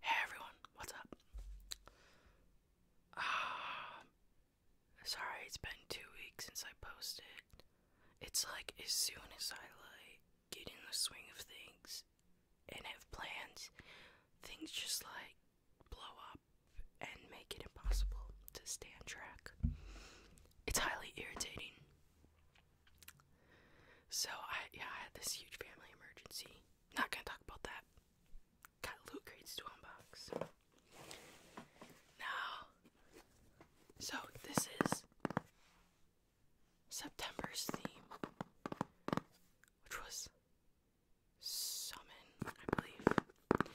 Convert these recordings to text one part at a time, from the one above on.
Hey everyone, what's up? Um, sorry, it's been two weeks since I posted. It's like as soon as I like get in the swing of things and have plans, things just like blow up and make it impossible to stay on track. It's highly irritating. So I yeah, I had this huge family emergency. Not gonna talk about that. Got loot crates to unbox. Now so this is September's theme, which was Summon, I believe.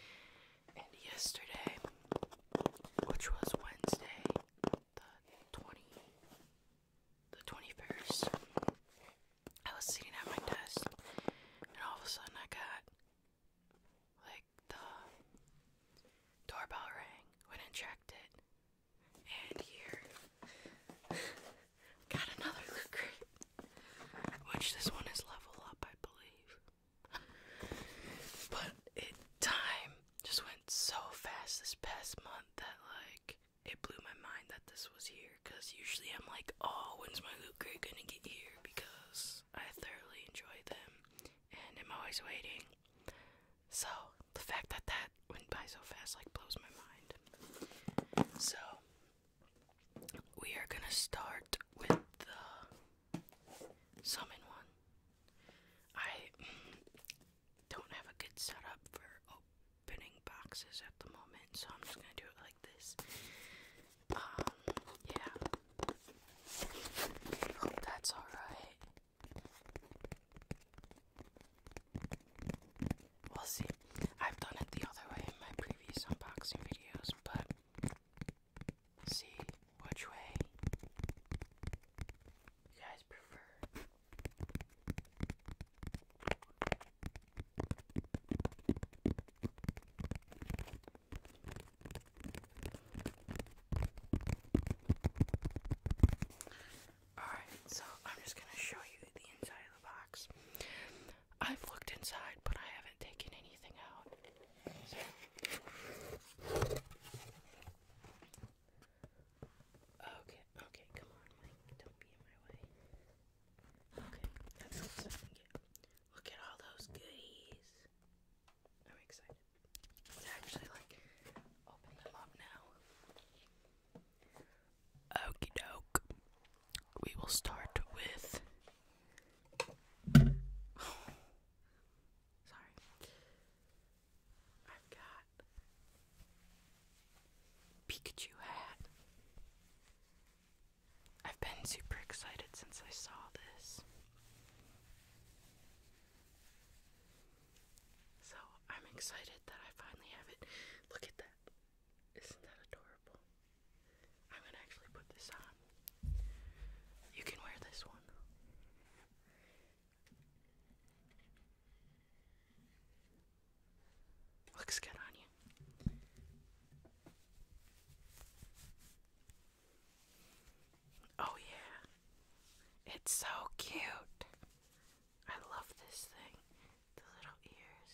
And yesterday, which was Wednesday, the twenty the twenty first, I was sitting at my desk and all of a sudden I got like the doorbell rang, went and checked it, and here got another loot crate, which this one is level up, I believe. but it time just went so fast this past month that like it blew my mind that this was here because usually I'm like, oh, when's my loot crate gonna get here? Because I thoroughly enjoy them and I'm always waiting. So the fact that that went by so fast like blows my mind. So we are gonna start with the summon one. I don't have a good setup for opening boxes at the moment, so I'm just gonna do it like this. Um, yeah. that's alright. We'll see. I've done it the other way in my previous unboxing videos, but see which way you guys prefer. Alright, so I'm just going to show you the inside box. I've looked inside, but I haven't taken anything out. Okay, okay, come on, Don't be in my way. Okay, that's what I get. Look at all those goodies. I'm excited. let actually like open them up now. Okie doke. We will start with. Sorry. I've got Pikachu hat. I've been super excited since I saw this. So I'm excited that I finally have it. Look at that. Isn't that adorable? I'm gonna actually put this on. You can wear this one. Looks good on you. Oh, yeah. It's so cute. I love this thing. The little ears.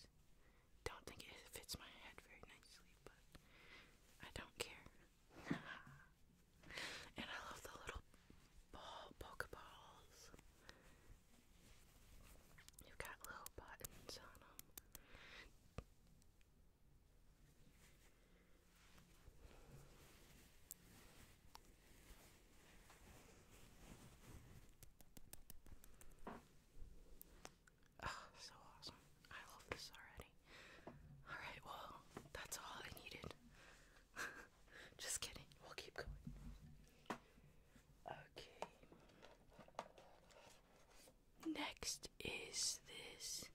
Don't think it fits my head very nicely, but I don't care. and I love the little ball, pokeballs. You've got little buttons on them. Oh, so awesome. I love this already. Alright, well, that's all I needed. Just kidding. We'll keep going. Okay. Next is this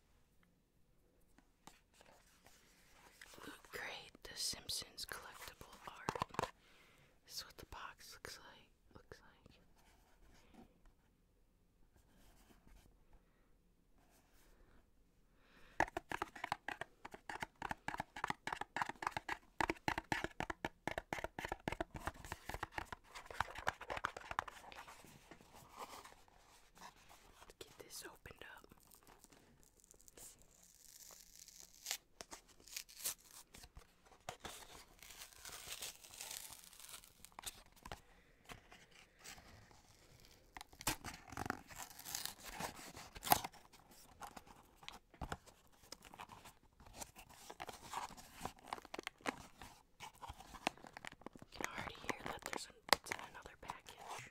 Look great, The Simpsons collectible art. This is what the box looks like. Looks like. Let's get this opened up. You can already hear that there's an, it's in another package.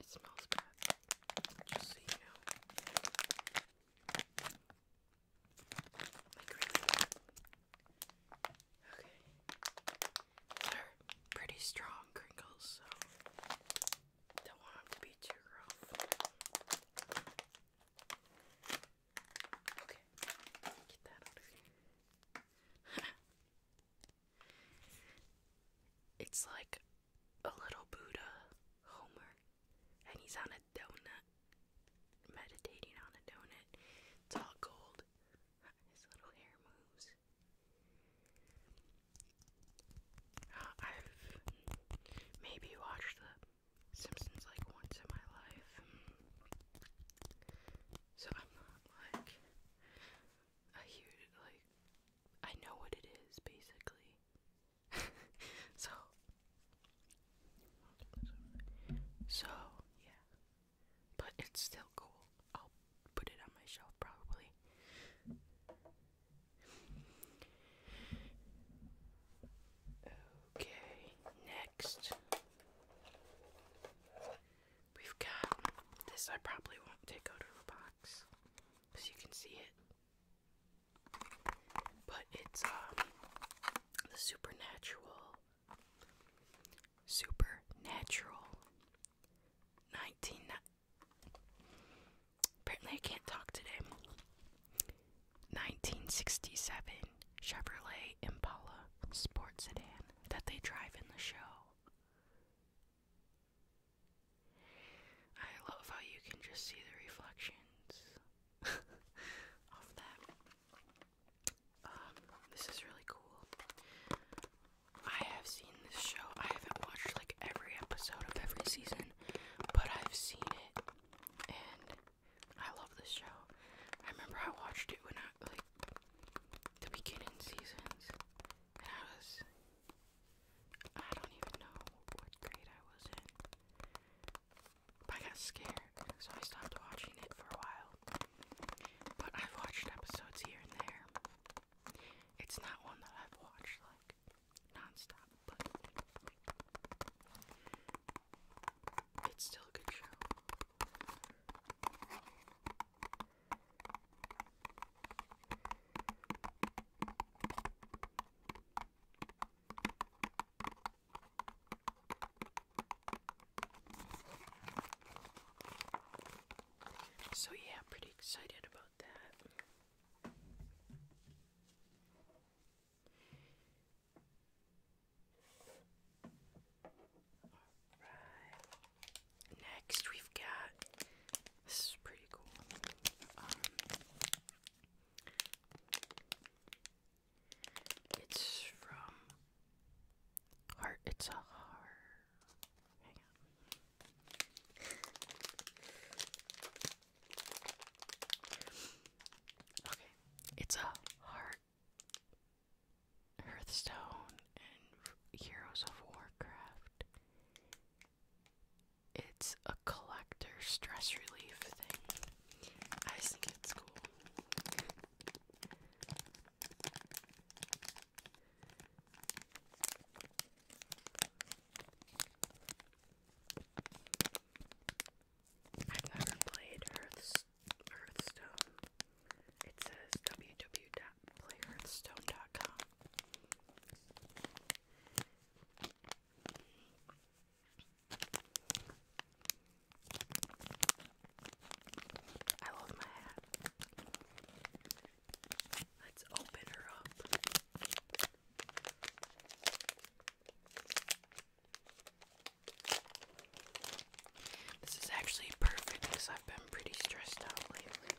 It smells bad. Just so you know. Okay. They're pretty strong crinkles, so don't want them to be too rough. Okay, get that out of here. It's like a little Buddha, Homer, and he's on a donut, meditating on a donut. It's all gold. His little hair moves. I've maybe watched The Simpsons like once in my life. So I'm not like a huge like I know what it is basically. so so yeah. But it's still cool. I'll put it on my shelf probably. Okay, next We've got this. I probably won't take out of the box because you can see it, but it's um, the supernatural, supernatural nineteen. Apparently, I can't talk today. 1967 Chevrolet Impala sports sedan that they drive in the show. I love how you can just see the reflections of that. Um, this is really cool. I have seen this show. I haven't watched like every episode of every season, but I've seen it and I love this show. I remember I watched it when the beginning seasons, I was I don't even know what grade I was in. I got scared, so I stopped watching it for a while. But I've watched episodes here and there. It's not one that I've watched like non-stop, but it's still a good show. So, yeah, pretty excited about that. Next, we've got. This is pretty cool. Um, it's from Heart. It's a heart. Hang on. okay. It's a heart. Heart, Hearthstone, and Heroes of Warcraft. It's a collector stress relief thing. I think it's cool. I've never played Earth's Hearthstone. It says www.playhearthstone.com. I love my hat. Let's open her up. This is actually perfect because I've been pretty stressed out lately.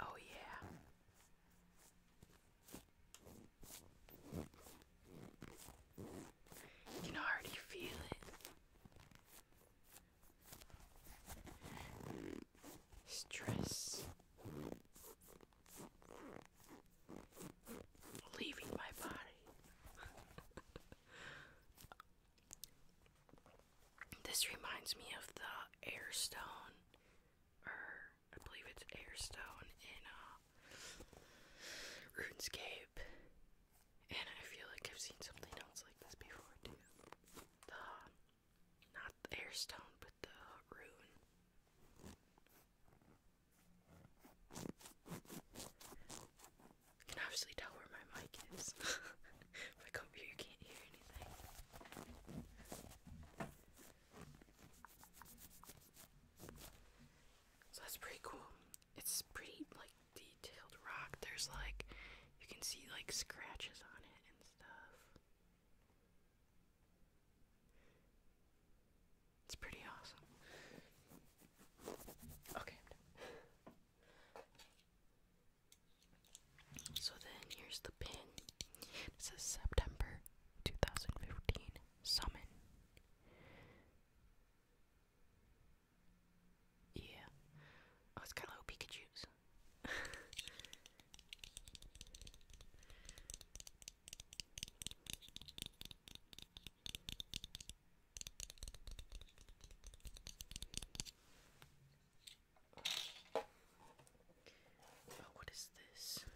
Oh, yeah. can already feel it. Stress leaving my body. this reminds me of the airstone, or I believe it's airstone in uh, RuneScape. And I feel like I've seen something else like this before too. The not the airstone, but the rune. You can obviously tell where my mic is. my computer can't hear anything. So that's pretty cool. It's pretty like detailed rock. There's like you can see like scratches on it and stuff. It's pretty awesome. Okay. So then here's the pin. It says September 2015 Summon. Yeah. Oh, it's got little Pikachu's. Oh, what is this? Am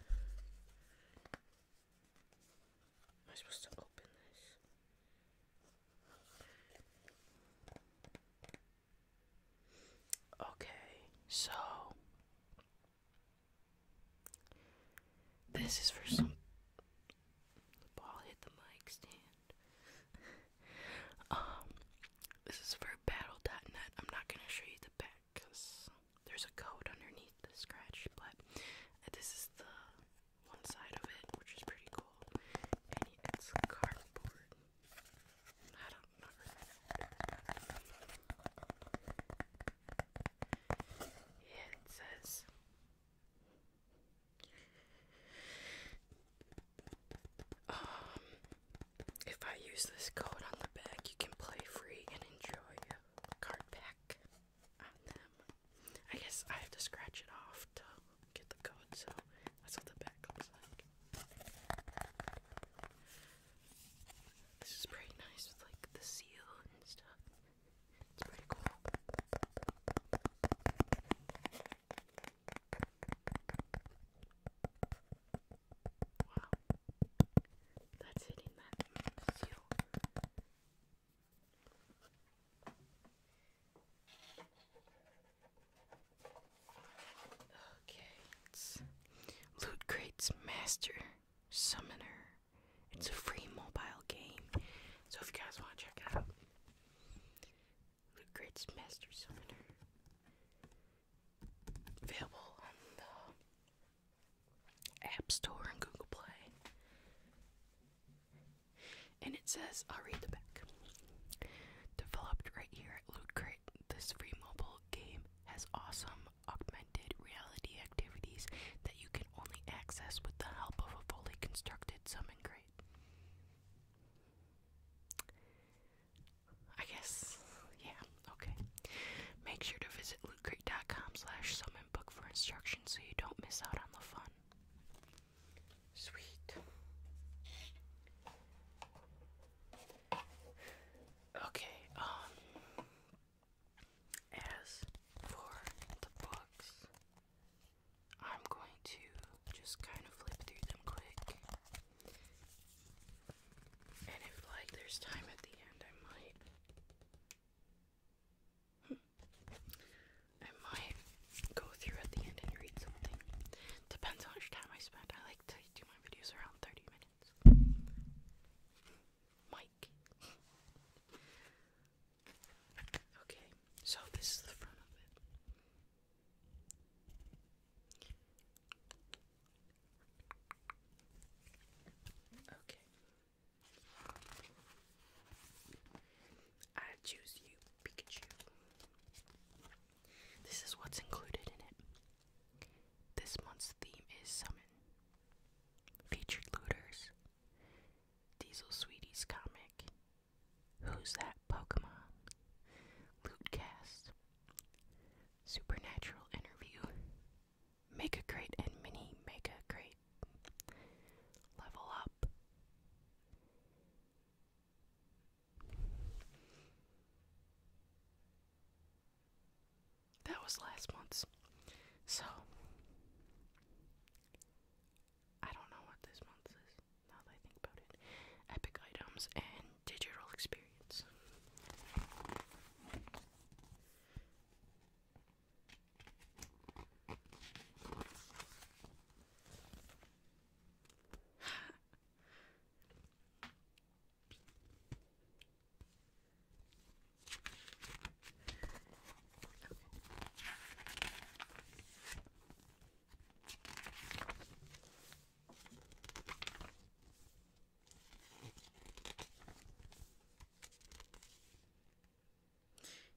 I supposed to open this? Okay, so this is for some. The ball hit the mic stand. um, this is for battle.net. I'm not gonna show you the back there's a code underneath the scratch, but this is the one side of it, which is pretty cool. And it's cardboard. Here it says um, if I use this code on the back, you can play free and enjoy a card pack I guess I have to scratch it off to get the code, so that's what the back looks like. This is pretty nice with like the seal and stuff. It's pretty cool. Wow. That's it that seal. Okay, Loot Crate's Master Summoner. It's a free mobile game. So if you guys want to check it out, Loot Crate's Master Summoner. Available on the App Store and Google Play. And it says, I'll read the back. Developed right here at Loot Crate, this free mobile game has awesome augmented reality activities that you can only access with the help of a fully constructed summon crate. I guess, yeah, okay. Make sure to visit lootcrate.com slash summon book for instructions so you don't miss out on the fun. Sweet. Okay, um as for the books, I'm going to just kind of flip through them quick. And if like there's time at the end, I might I might go through at the end and read something. Depends on how much time I spend. I like to do my videos around 30 minutes. Mike. okay, so this is the front of it. Okay. I choose you, Pikachu. This is what's included in it. This month's theme is Summon. Featured Looters, Diesel Sweeties Comic, Who's That Pokemon, Loot cast. Supernatural Interview, Make a Crate and Mini Make a Crate, Level Up. That was last month's. So, I don't know what this month is now that I think about it. Epic items and digital experience.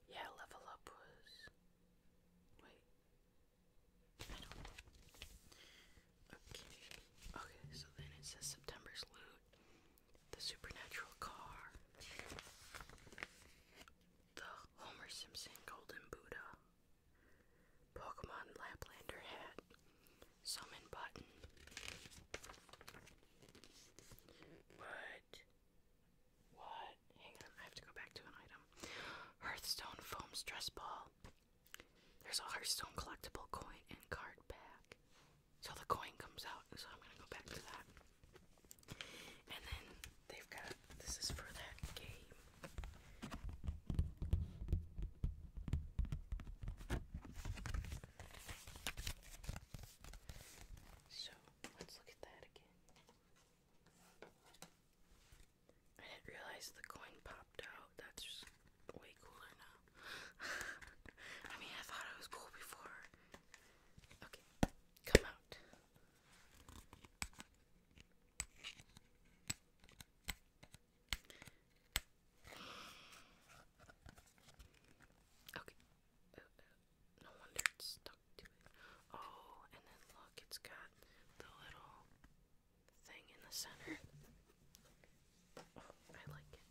Yeah, level up was. Wait. I don't know. Okay. Okay, so then it says September's loot the supernatural car, the Homer Simpson Golden Buddha, Pokemon Laplander hat, summon button. What? What? Hang on, I have to go back to an item. Hearthstone foam stress ball. There's a Hearthstone collectible coin and card pack. So the coin comes out, so I'm gonna go back to that. And then they've got this is for that game. So let's look at that again. I didn't realize the coin popped out. That's way cooler now. I mean, I thought it was cool before. Okay, come out. Okay. Uh, uh, no wonder it's stuck to it. Oh, and then look, it's got the little thing in the center. I like it.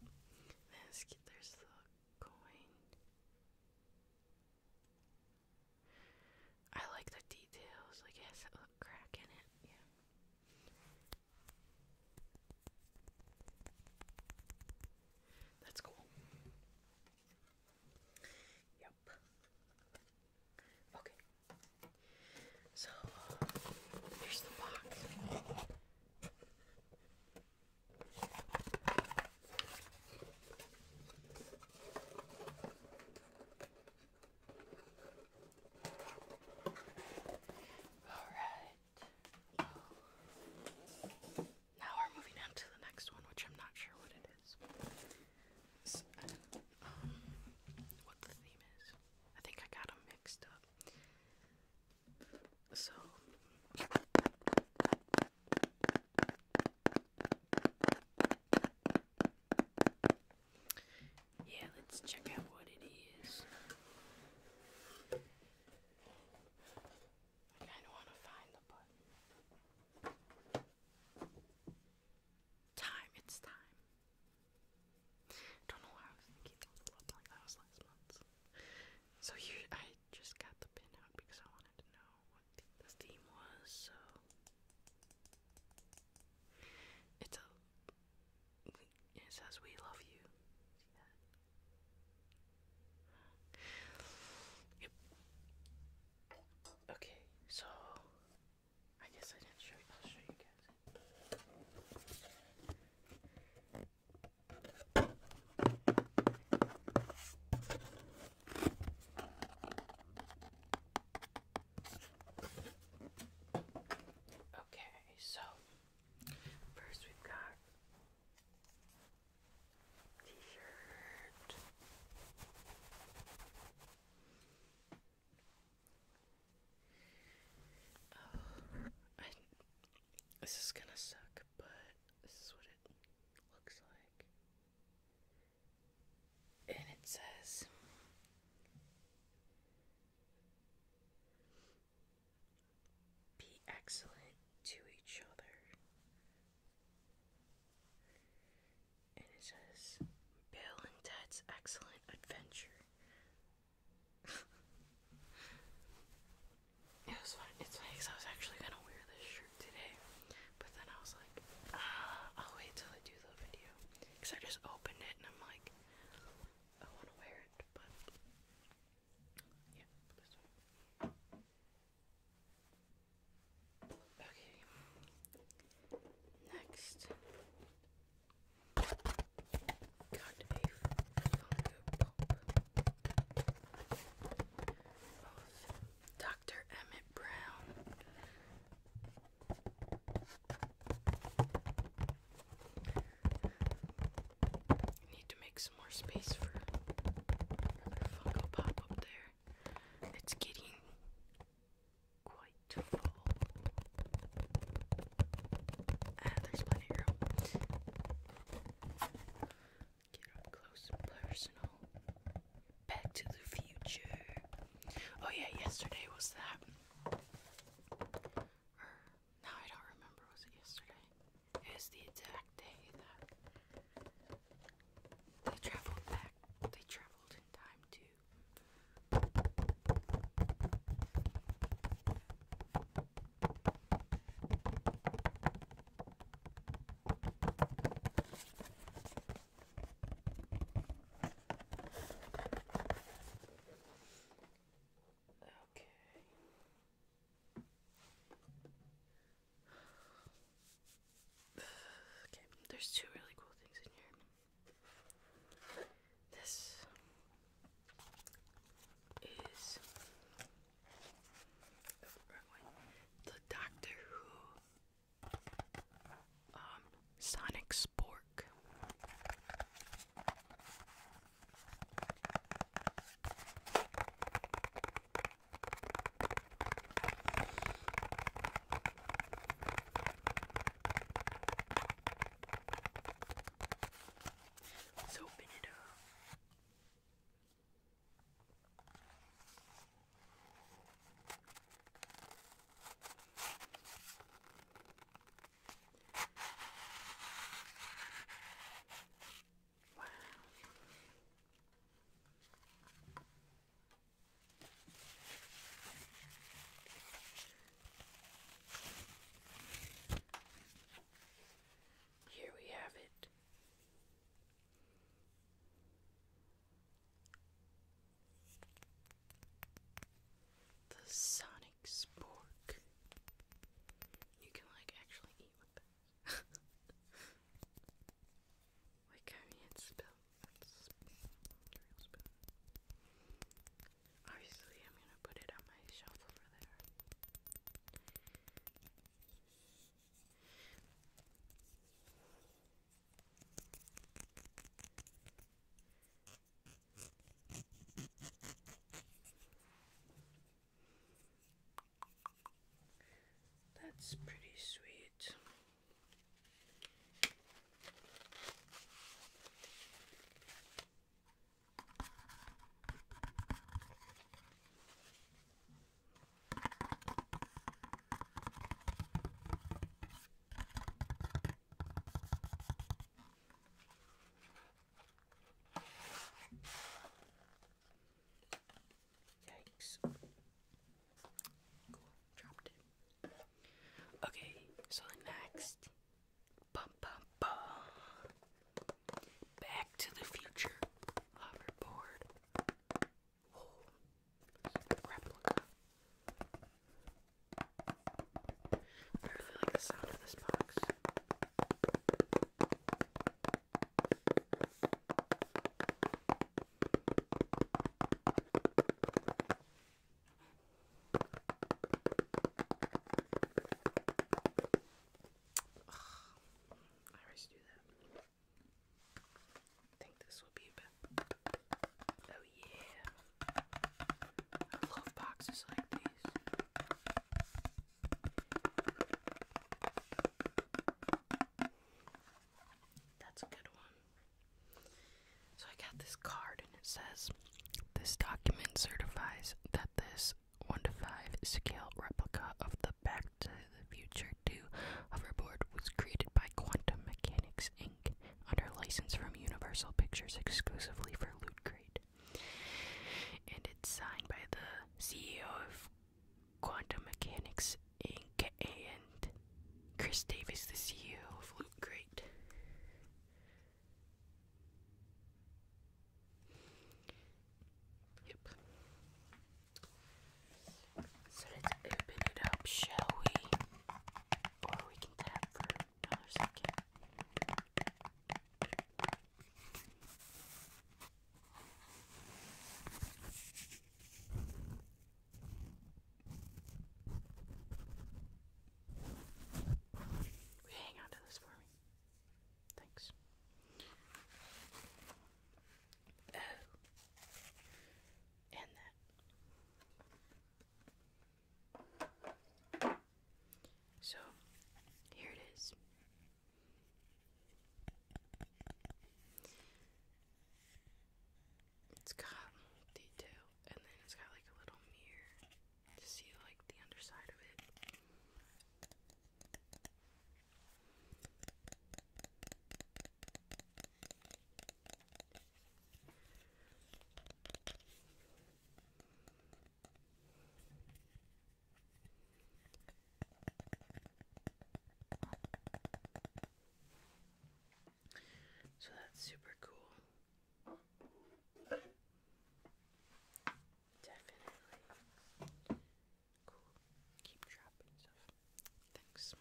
There's, there's the coin. I like the details. Like it has a crack in it. Yeah. That's cool. Yep. Okay. So, here's the box. Alright. Now we're moving on to the next one, which I'm not sure what it is. Um, what the theme is. I think I got them mixed up. So yeah, let's check out what it is. I kind of want to find the button. Time, it's time. Don't know why I was thinking that was last month. So you, I just got the pin out because I wanted to know what the, theme was. So it's a. It says "We love you." Yep. Okay, so I guess I didn't show you. I'll show you guys. Okay, so first we've got t-shirt uh, this is gonna suck, but this is what it looks like. And it says Be excellent to each other. And it says Bill and Ted's Excellent Adventure it was funny. It's funny because I was actually gonna wear this shirt today, but then I was like, ah, I'll wait till I do the video. Because I just opened it and I'm like, I want to wear it, but yeah, this one. Okay. Next, Dr. Emmett Brown. I need to make some more space for Funko Pop up there. It's getting Ah, close personal. Back to the future. Oh yeah, yesterday was that. Or I don't remember. Was it yesterday? It the exact day that they traveled back. They traveled in time to Okay. Okay, there's two really cool things in here. This is the Doctor Who um, Sonic Spork. Let's open it up. Wow. Here we have it. The Sonic Spork. You can like actually eat with this. like I mean it's spelled Obviously, I'm gonna put it on my shelf over there. That's pretty sweet. Yikes. Cool, dropped it. Okay, so next Bum, bum, bum. Back to the future hoverboard. Oh, replica. I really like the sound of this box. I always do that. I think this will be a Oh, yeah. I love boxes like these. That's a good one. So I got this card and it says this document certifies that this 1 to 5 scale replica of the Back to the Future 2 hoverboard was created by Quantum Mechanics Inc. under license from Universal Pictures exclusively for Loot Crate. And it's signed by the CEO of Quantum Mechanics Inc. and Chris Davis, the CEO of Loot Crate. Yep. So let's open it up, shall we? Or we can tap for another second. Will you hang on this for me? Thanks. Oh. And that. So, here it is. It's got detail and then it's got like a little mirror to see like the underside of it. So that's super cool. Definitely cool. Keep dropping stuff. Thanks.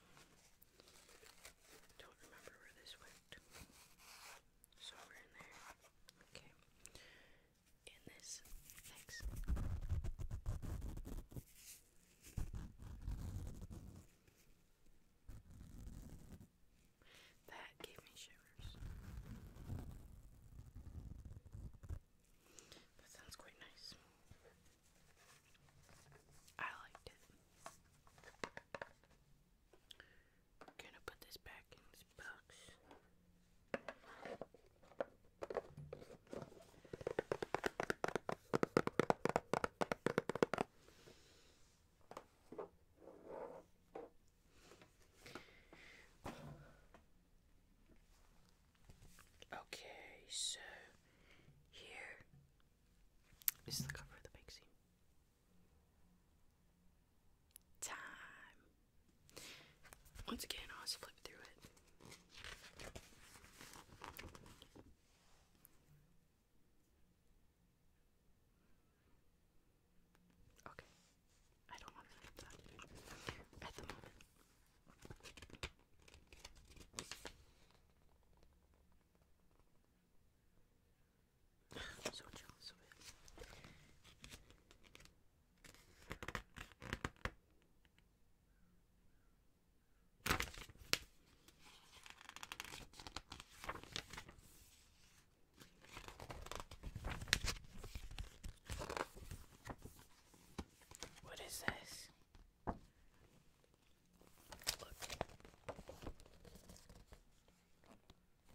Don't remember where this went. So we're in there. Okay. In this. Thanks. That gave me shivers. That sounds quite nice. I liked it. gonna put this back in this box. Okay, so here is the cover of the magazine. Time. Once again, I'll just flip through it. Okay. I don't want that at the moment. I'm so jealous what is this? Look.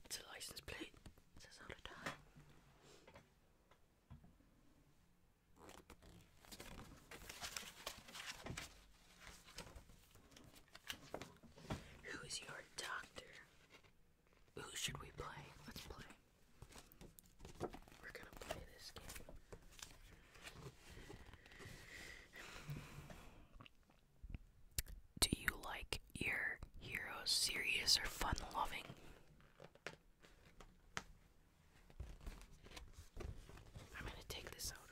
It's a license plate. It says all the time. Who's your doctor? Who should we play? Let's play. We're gonna play this game. Do you like your heroes serious or fun loving? I'm gonna take this out.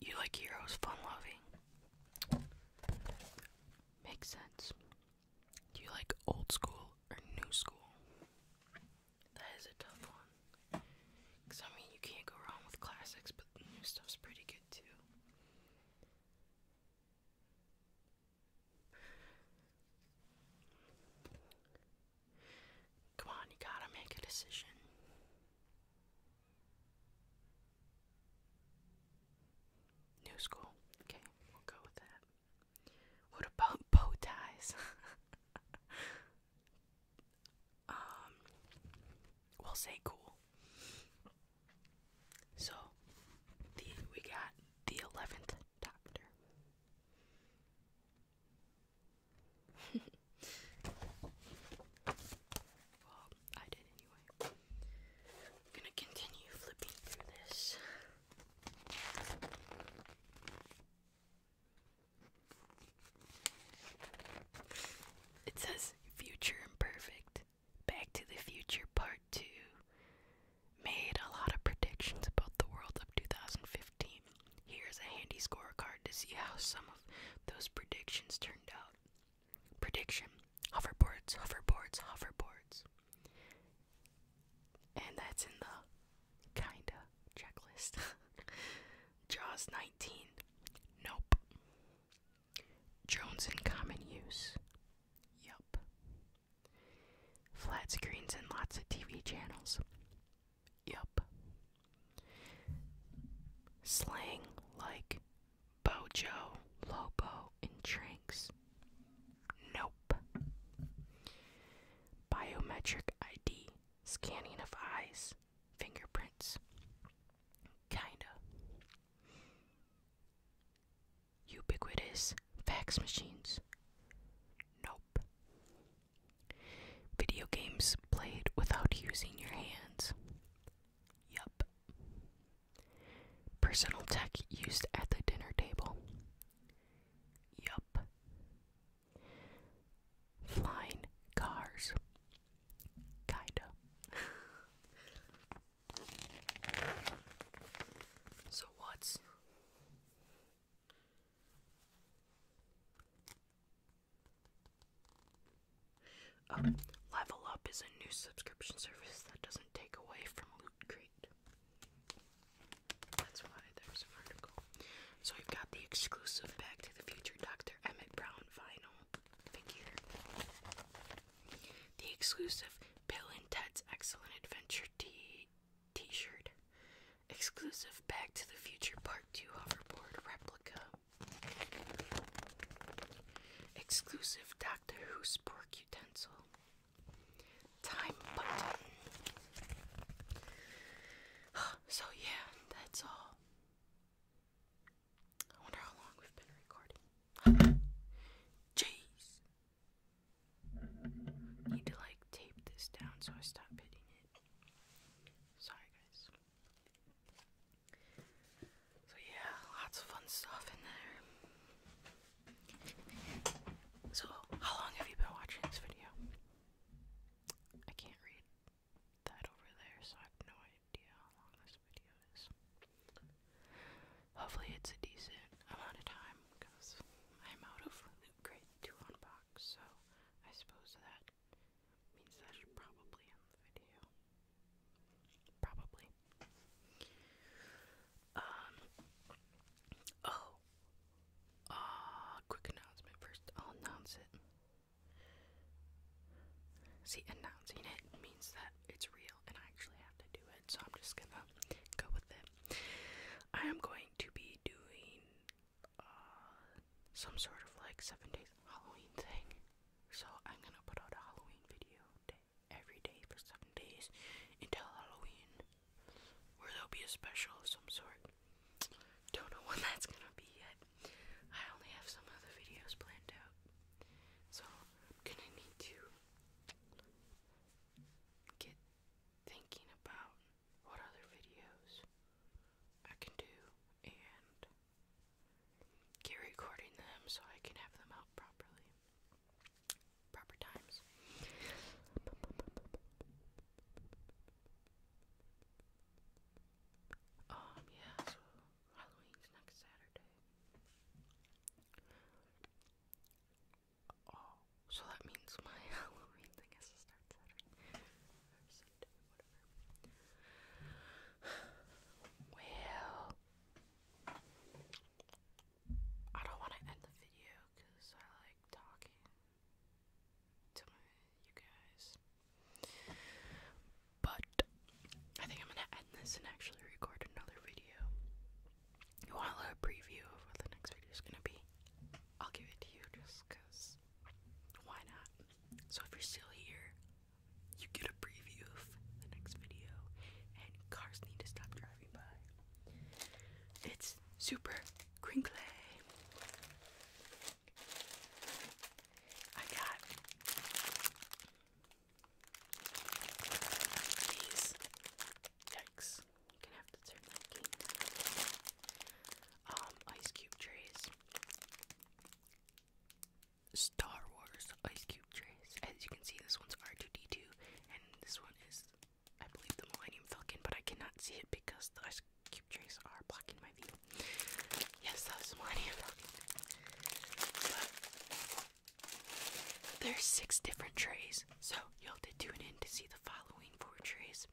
you like heroes fun loving. Makes sense. Do you like old school or new school? That is a tough one. Because, I mean, you can't go wrong with classics, but new stuff's pretty good too. Come on, you gotta make a decision. New school. Okay, we'll go with that. What about bow ties? um, we'll say cool. So, the we got the eleventh Doctor well, I did anyway. I'm gonna continue flipping through this. It says Future Imperfect. Back to the Future Part 2 made a lot of predictions about the world of 2050. Here's a handy scorecard to see how some of those predictions turned out. Prediction hoverboards, hoverboards, hoverboards. And that's in the kinda checklist. Jaws 19. Nope. Drones in common use. Yup. Flat screens and lots of TV channels. Yup. Slang like Bojo, Lobo, and Tranks. Nope. Biometric ID, scanning of eyes, fingerprints. Kinda. Ubiquitous fax machines. Nope. Video games played without using your hands. Yup. Personal tech used at the dinner table. Yup. Flying cars. Kinda. so, what's. Um, Level Up is a new subscription service that doesn't take away from Loot Crate. That's why there's an article. So we've got the exclusive Back to the Future Dr. Emmett Brown vinyl figure. The exclusive Bill and Ted's Excellent Adventure T t-shirt Exclusive Back to the Future Part 2 hoverboard replica. Exclusive Doctor Who spork utensil. Time button. So, yeah, that's all. I wonder how long we've been recording. Jeez. Need to like tape this down so I stop hitting it. Sorry, guys. So, yeah, lots of fun stuff in there. So, how long have you been watching this video? I can't read that over there, so I have no idea how long this video is. Hopefully, it's a decent amount of time because I'm out of loot crate to unbox, so I suppose that means that should probably end the video. Probably. Um. Oh. Uh, quick announcement first. I'll announce it. See, announcing it means that it's real and I actually have to do it, so I'm just gonna go with it. I am going to be doing uh, some sort of like seven days Halloween thing. So I'm gonna put out a Halloween video every day for seven days until Halloween, where there'll be a special of some sort. Don't know when that's gonna be yet. I only have some other videos planned out, so I'm gonna need to get thinking about what other videos I can do and get recording them so I can have them out properly. Proper times. Um, yeah, so Halloween's next Saturday. Oh, so that means my Halloween thing has to start Saturday. Well, I don't want to end the video because I like talking to you guys. But I think I'm gonna end this and actually record another video. You want a little preview of what the next video is gonna be? I'll give it to you just why not? So if you're still here, you get a preview of the next video, and cars need to stop driving by. It's super crinkly. I got these. Yikes! You're gonna have to turn that um, ice cube trays. Star Wars ice cube trays. As you can see, this one's R2D2, and this one is, I believe, the Millennium Falcon, but I cannot see it because the ice cube trays are blocking my view. Yes, that Millennium Falcon. there's six different trays, so you'll have to tune in to see the following four trays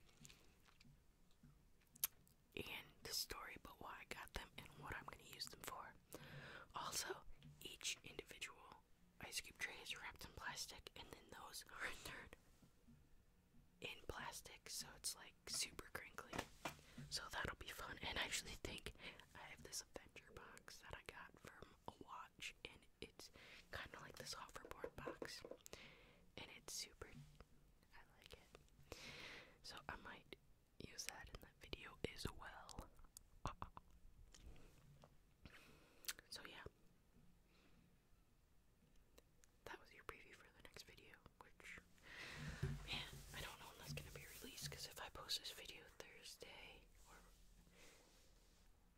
and the story but why I got them and what I'm going to use them for. Also, each individual ice cube tray is wrapped in plastic and then those are entered in plastic so it's like super crinkly. So that'll be fun and I actually think I have this adventure box that I got from a watch and it's kind of like this hoverboard box and it's super I like it. So I might use that in that video as well. So yeah. That was your preview for the next video, which man, I don't know when that's gonna be released because if I post this video Thursday or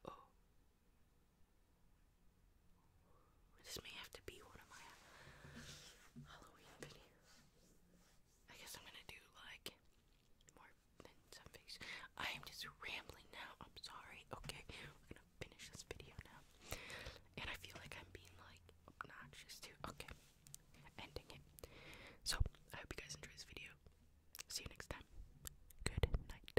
oh this may have to be one of my Halloween videos. I guess I'm gonna do like more than some things. I am just rambling now. I'm sorry. Okay, we're gonna finish this video now. And I feel like I'm being like obnoxious too. Okay, ending it. So I hope you guys enjoy this video. See you next time. Good night.